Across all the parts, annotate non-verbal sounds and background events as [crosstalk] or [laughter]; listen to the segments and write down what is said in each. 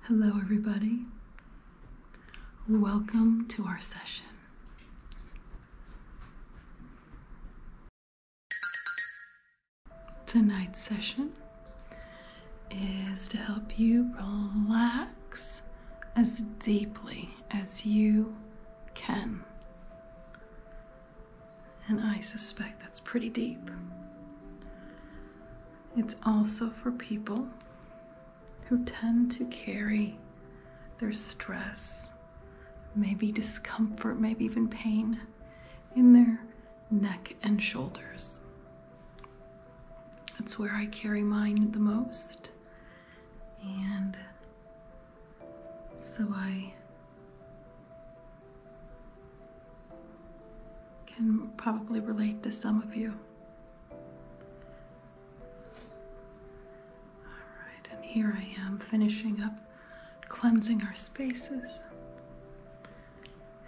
Hello, everybody. Welcome to our session. Tonight's session is to help you relax as deeply as you can. And I suspect that's pretty deep. It's also for people who tend to carry their stress, maybe discomfort, maybe even pain in their neck and shoulders. That's where I carry mine the most. And so I can probably relate to some of you. Alright, and here I am finishing up cleansing our spaces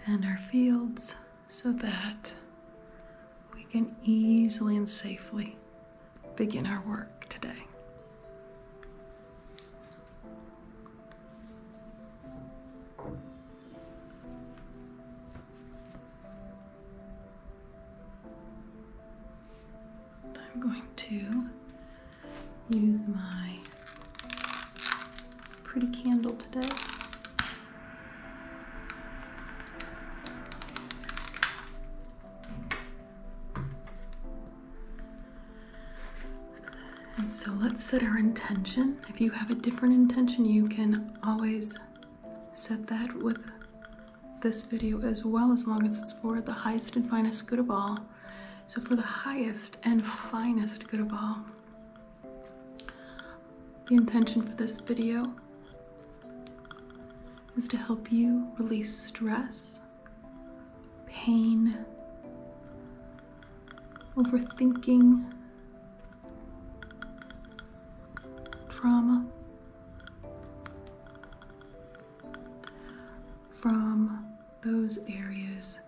and our fields so that we can easily and safely begin our work today. I'm going to use my pretty candle today. And so let's set our intention. If you have a different intention, you can always said that with this video as well as long as it's for the highest and finest good of all. So for the highest and finest good of all, the intention for this video is to help you release stress, pain, overthinking, trauma from those areas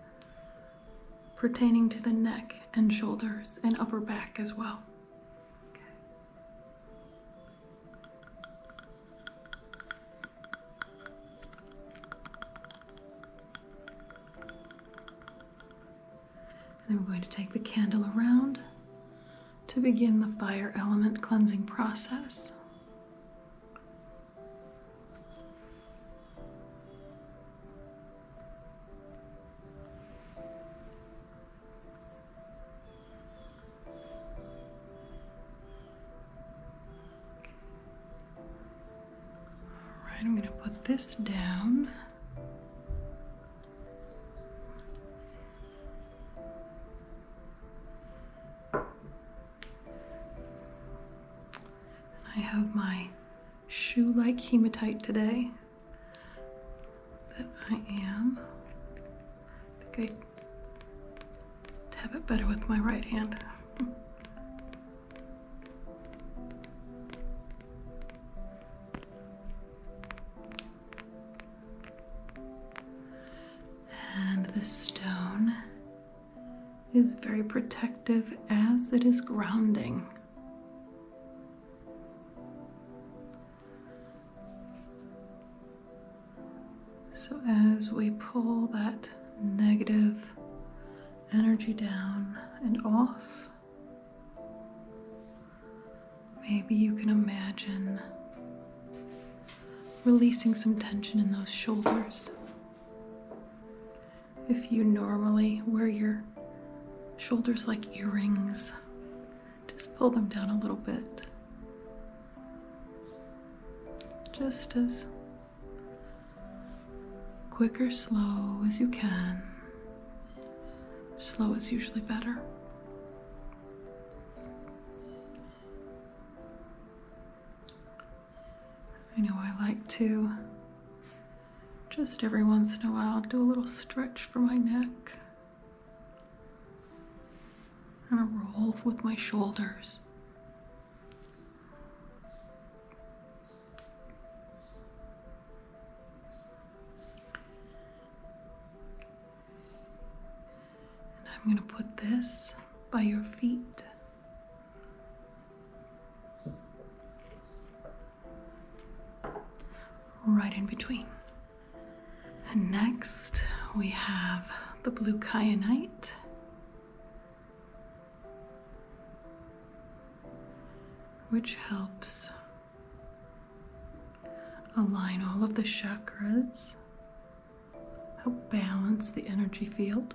pertaining to the neck and shoulders and upper back as well. And we're going to take the candle around to begin the fire element cleansing process. All right, I'm going to put this down. I have my shoe-like hematite today that I am. I think I have it better with my right hand. [laughs] And the stone is very protective as it is grounding. So, as we pull that negative energy down and off, Maybe you can imagine releasing some tension in those shoulders. If you normally wear your shoulders like earrings, just pull them down a little bit. Just as quick or slow as you can. Slow is usually better. I know I like to just every once in a while do a little stretch for my neck and a roll with my shoulders. And I'm going to put this by your feet. Right in between. And next we have the blue kyanite. which helps Align all of the chakras. Help balance the energy field.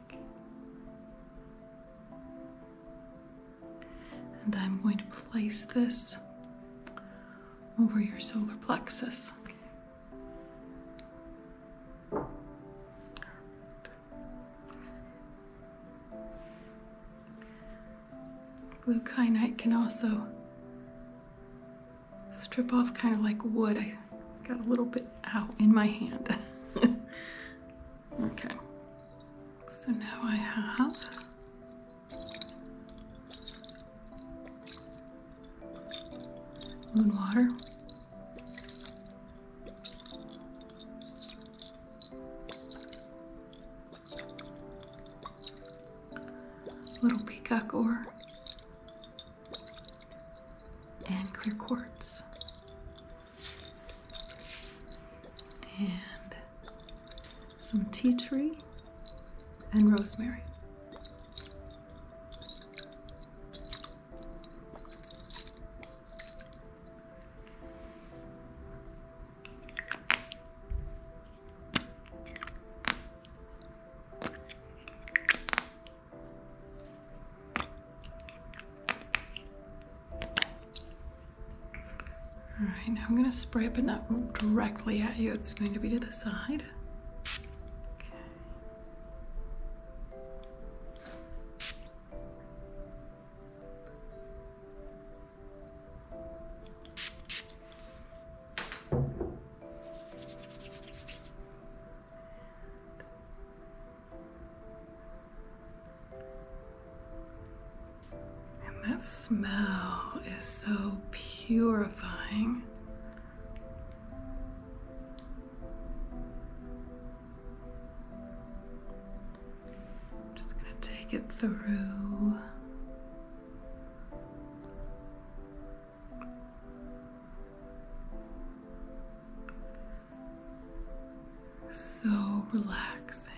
And I'm going to place this over your solar plexus. Okay. Blue kyanite can also strip off kind of like wood. I got a little bit out in my hand. [laughs] okay. So now I have moon water. Little peacock ore and clear quartz and some tea tree and rosemary. All right, now I'm gonna spray it, but not directly at you. It's going to be to the side. And that smell is so purifying. just going to take it through so relaxing.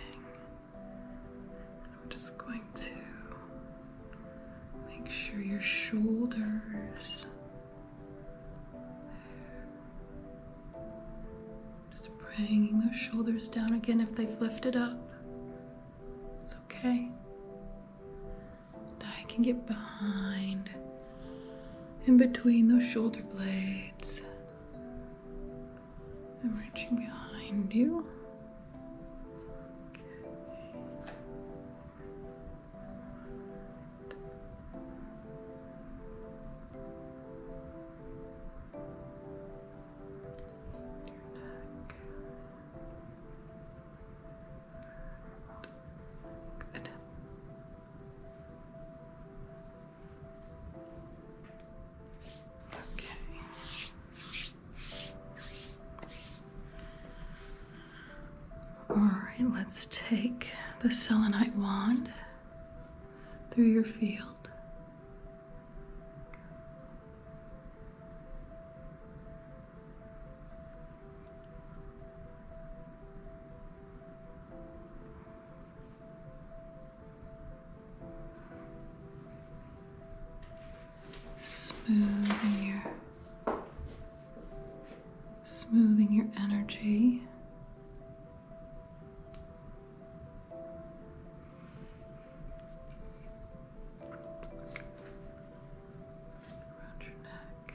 I'm just going to make sure your shoulders just bringing those shoulders down again if they've lifted up. It's okay. I can get behind in between those shoulder blades. I'm reaching behind you. Good. Okay. All right, let's take the selenite wand through your field smoothing your smoothing your energy around your neck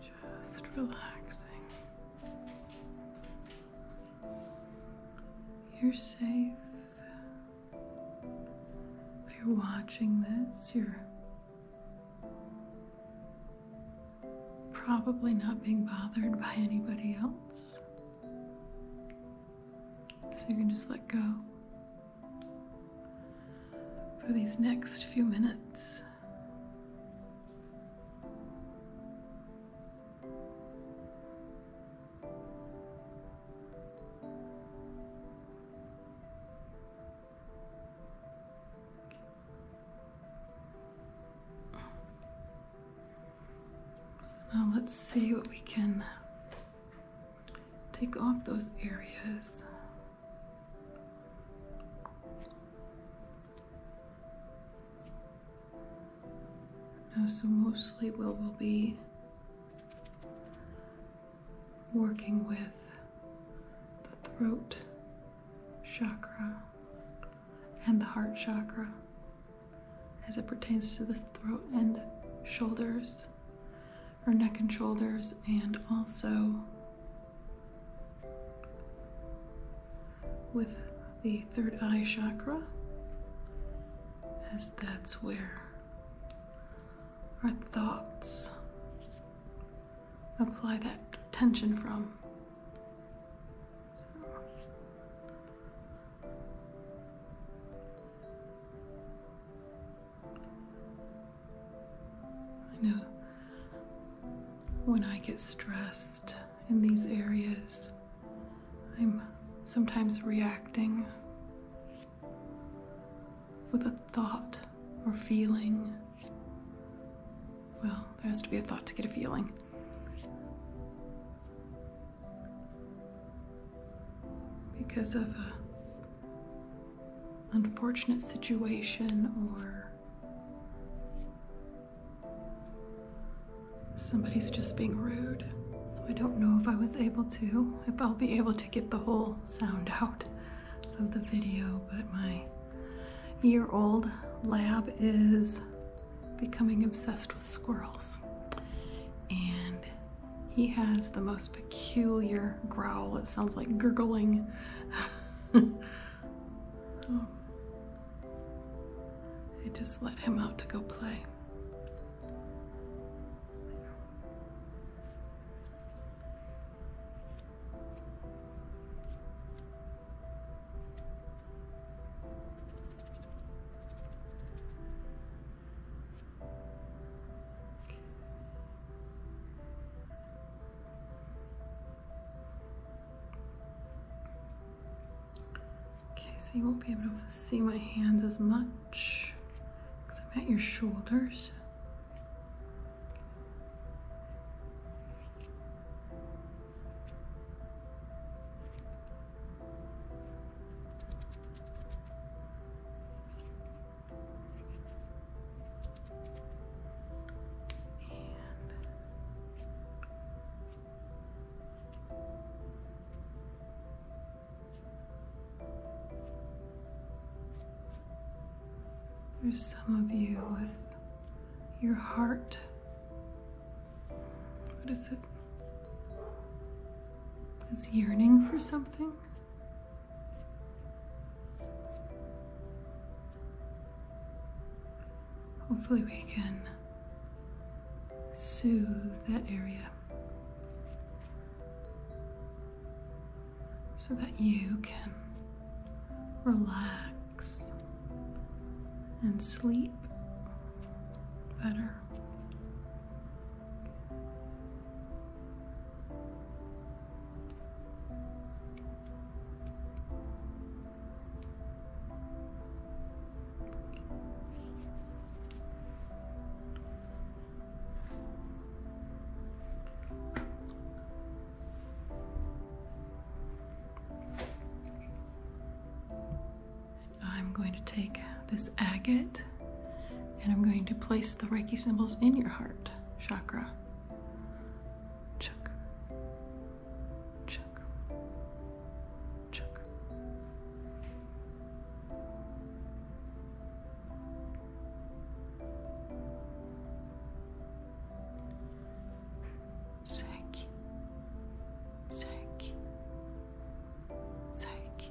Just relaxing. You're safe. If you're watching this, you're probably not being bothered by anybody else. So you can just let go for these next few minutes. So now let's see what we can take off those areas so mostly we'll be working with the throat chakra and the heart chakra as it pertains to the throat and shoulders or neck and shoulders and also with the third eye chakra, as that's where our thoughts apply that tension from. I know when I get stressed in these areas. I'm sometimes reacting with a thought or feeling. Well, there has to be a thought to get a feeling. Because of a unfortunate situation or Somebody's just being rude, so I don't know if I was able to, if I'll be able to get the whole sound out of the video, but my year-old lab is becoming obsessed with squirrels. And he has the most peculiar growl. It sounds like gurgling. [laughs] Oh. I just let him out to go play. Okay, so you won't be able to see my hands as much because I'm at your shoulders. There's some of you with your heart. What is it? Is yearning for something? Hopefully, we can soothe that area so that you can relax and sleep better. I'm going to take this agate and I'm going to place the Reiki symbols in your heart chakra. Chuk, Chuck. Chuck. Sank. Sank. Sank.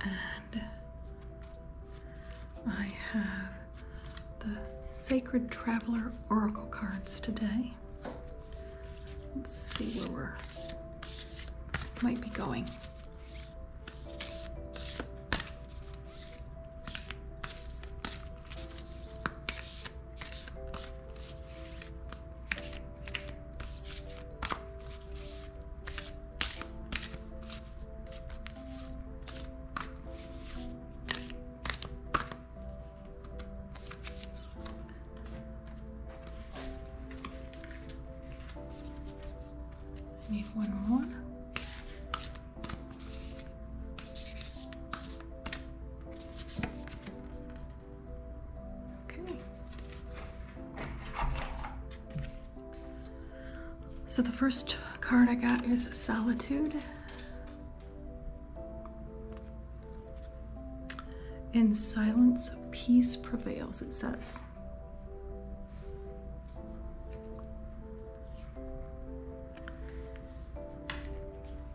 and I have the Sacred Traveler Oracle cards today. Let's see where we're might be going. I need one more. Okay. So the first card I got is Solitude. In silence, peace prevails, it says.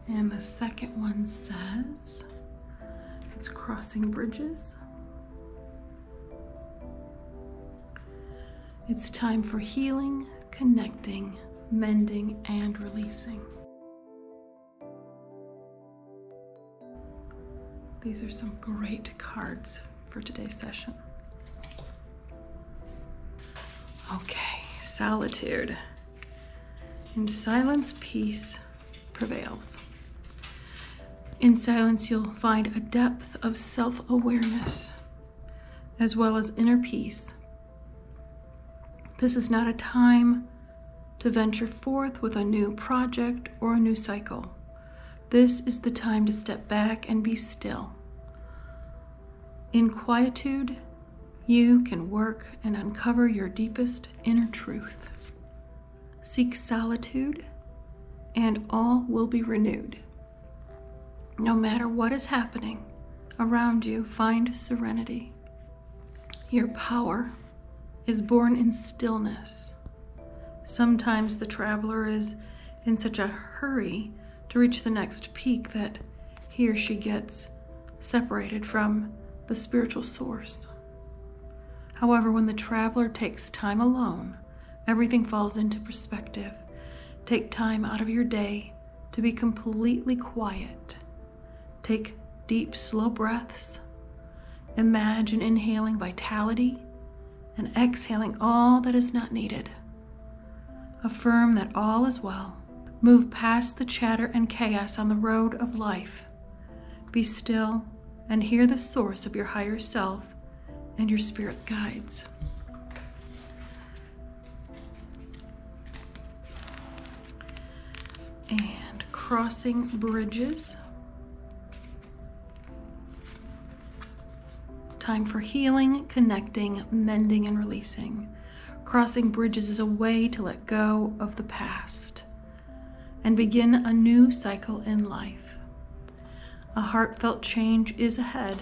And the second one says, it's crossing bridges. It's time for healing, connecting, mending, and releasing. These are some great cards for today's session. Okay, solitude. In silence, peace, prevails. In silence, you'll find a depth of self awareness as well as inner peace. This is not a time to venture forth with a new project or a new cycle. This is the time to step back and be still. In quietude, you can work and uncover your deepest inner truth. Seek solitude, and all will be renewed. No matter what is happening around you, find serenity. Your power is born in stillness. Sometimes the traveler is in such a hurry to reach the next peak that he or she gets separated from the spiritual source. However, when the traveler takes time alone, everything falls into perspective. Take time out of your day to be completely quiet. Take deep, slow breaths. Imagine inhaling vitality and exhaling all that is not needed. Affirm that all is well. Move past the chatter and chaos on the road of life be still and hear the source of your higher self and your spirit guides. And crossing bridges. Time for healing, connecting, mending, and releasing. Crossing bridges is a way to let go of the past and begin a new cycle in life. A heartfelt change is ahead.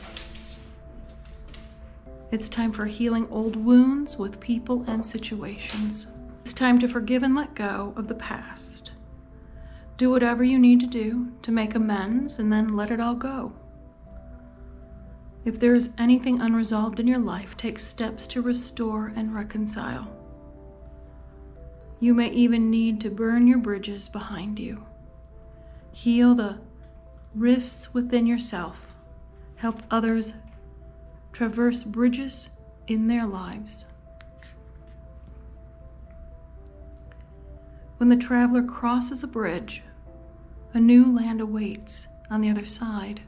It's time for healing old wounds with people and situations. It's time to forgive and let go of the past. Do whatever you need to do to make amends and then let it all go. If there is anything unresolved in your life, life take steps to restore and reconcile. You may even need to burn your bridges behind you, heal the rifts within yourself, help others traverse bridges in their lives. When the traveler crosses a bridge, a new land awaits on the other side.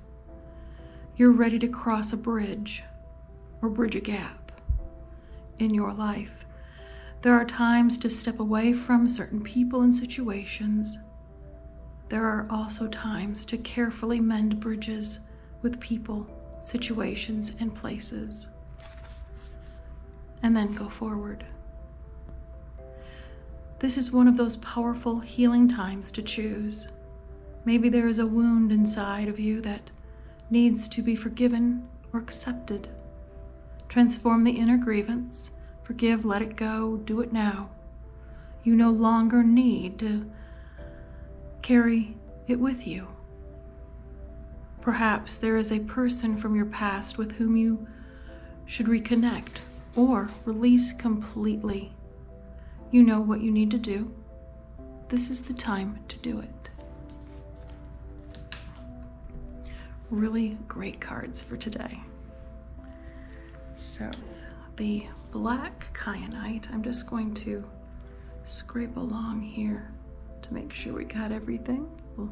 You're ready to cross a bridge or bridge a gap in your life. There are times to step away from certain people and situations. There are also times to carefully mend bridges with people, situations, and places. And then go forward. This is one of those powerful healing times to choose Maybe there is a wound inside of you that needs to be forgiven or accepted. Transform the inner grievance. Forgive, let it go, do it now. You no longer need to carry it with you. Perhaps there is a person from your past with whom you should reconnect or release completely. You know what you need to do. This is the time to do it. Really great cards for today. So the black kyanite, I'm just going to scrape along here to make sure we cut everything. We'll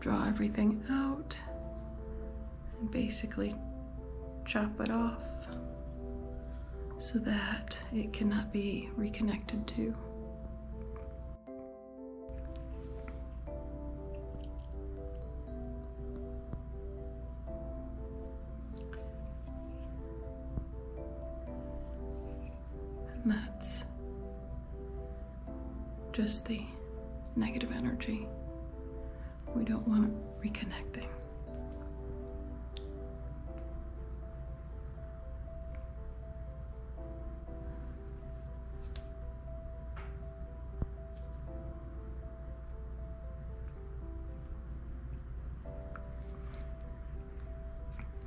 draw everything out and basically chop it off so that it cannot be reconnected to. And that's just the negative energy we don't want reconnecting.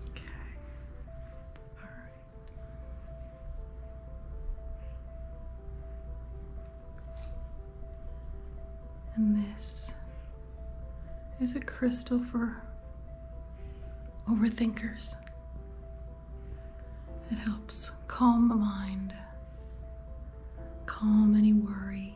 Okay. All right. And this is a crystal for overthinkers. It helps calm the mind, calm any worry.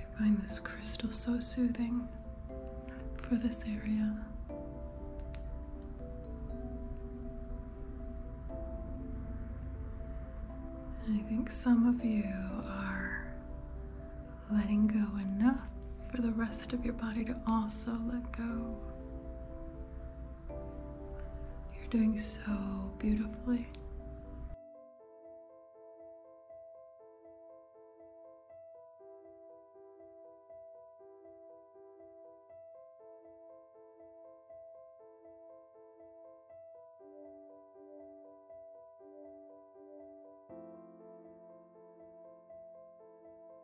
I find this crystal so soothing for this area. I think some of you are letting go enough for the rest of your body to also let go. You're doing so beautifully.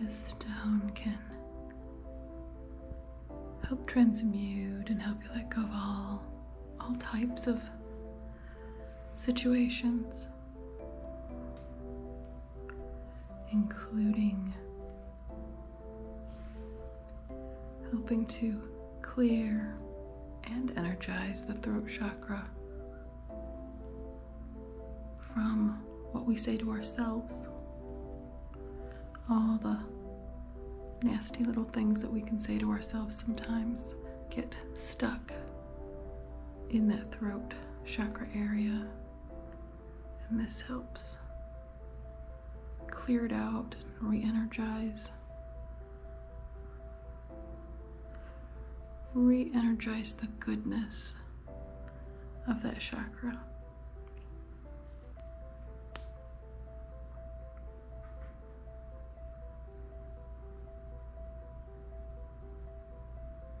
This stone can help transmute and help you let go of all all types of situations including helping to clear and energize the throat chakra from what we say to ourselves, all the nasty little things that we can say to ourselves sometimes get stuck in that throat chakra area. And this helps clear it out re energize. Re energize the goodness of that chakra.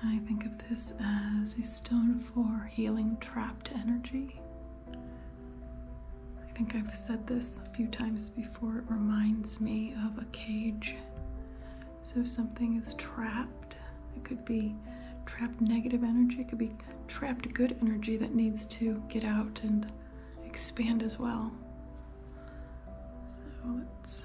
And I think of this as a stone for healing trapped energy. I think I've said this a few times before. It reminds me of a cage. So something is trapped. It could be trapped negative energy, it could be trapped good energy that needs to get out and expand as well. So let's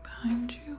Getting behind you.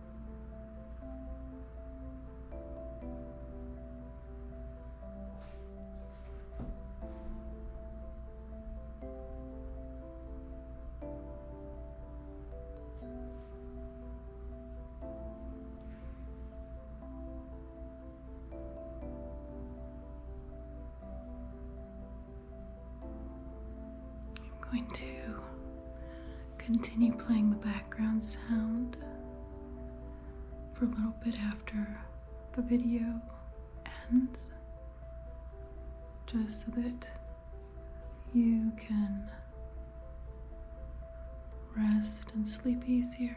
I'm going to continue playing the background sound for a little bit after the video ends, just so that you can rest and sleep easier.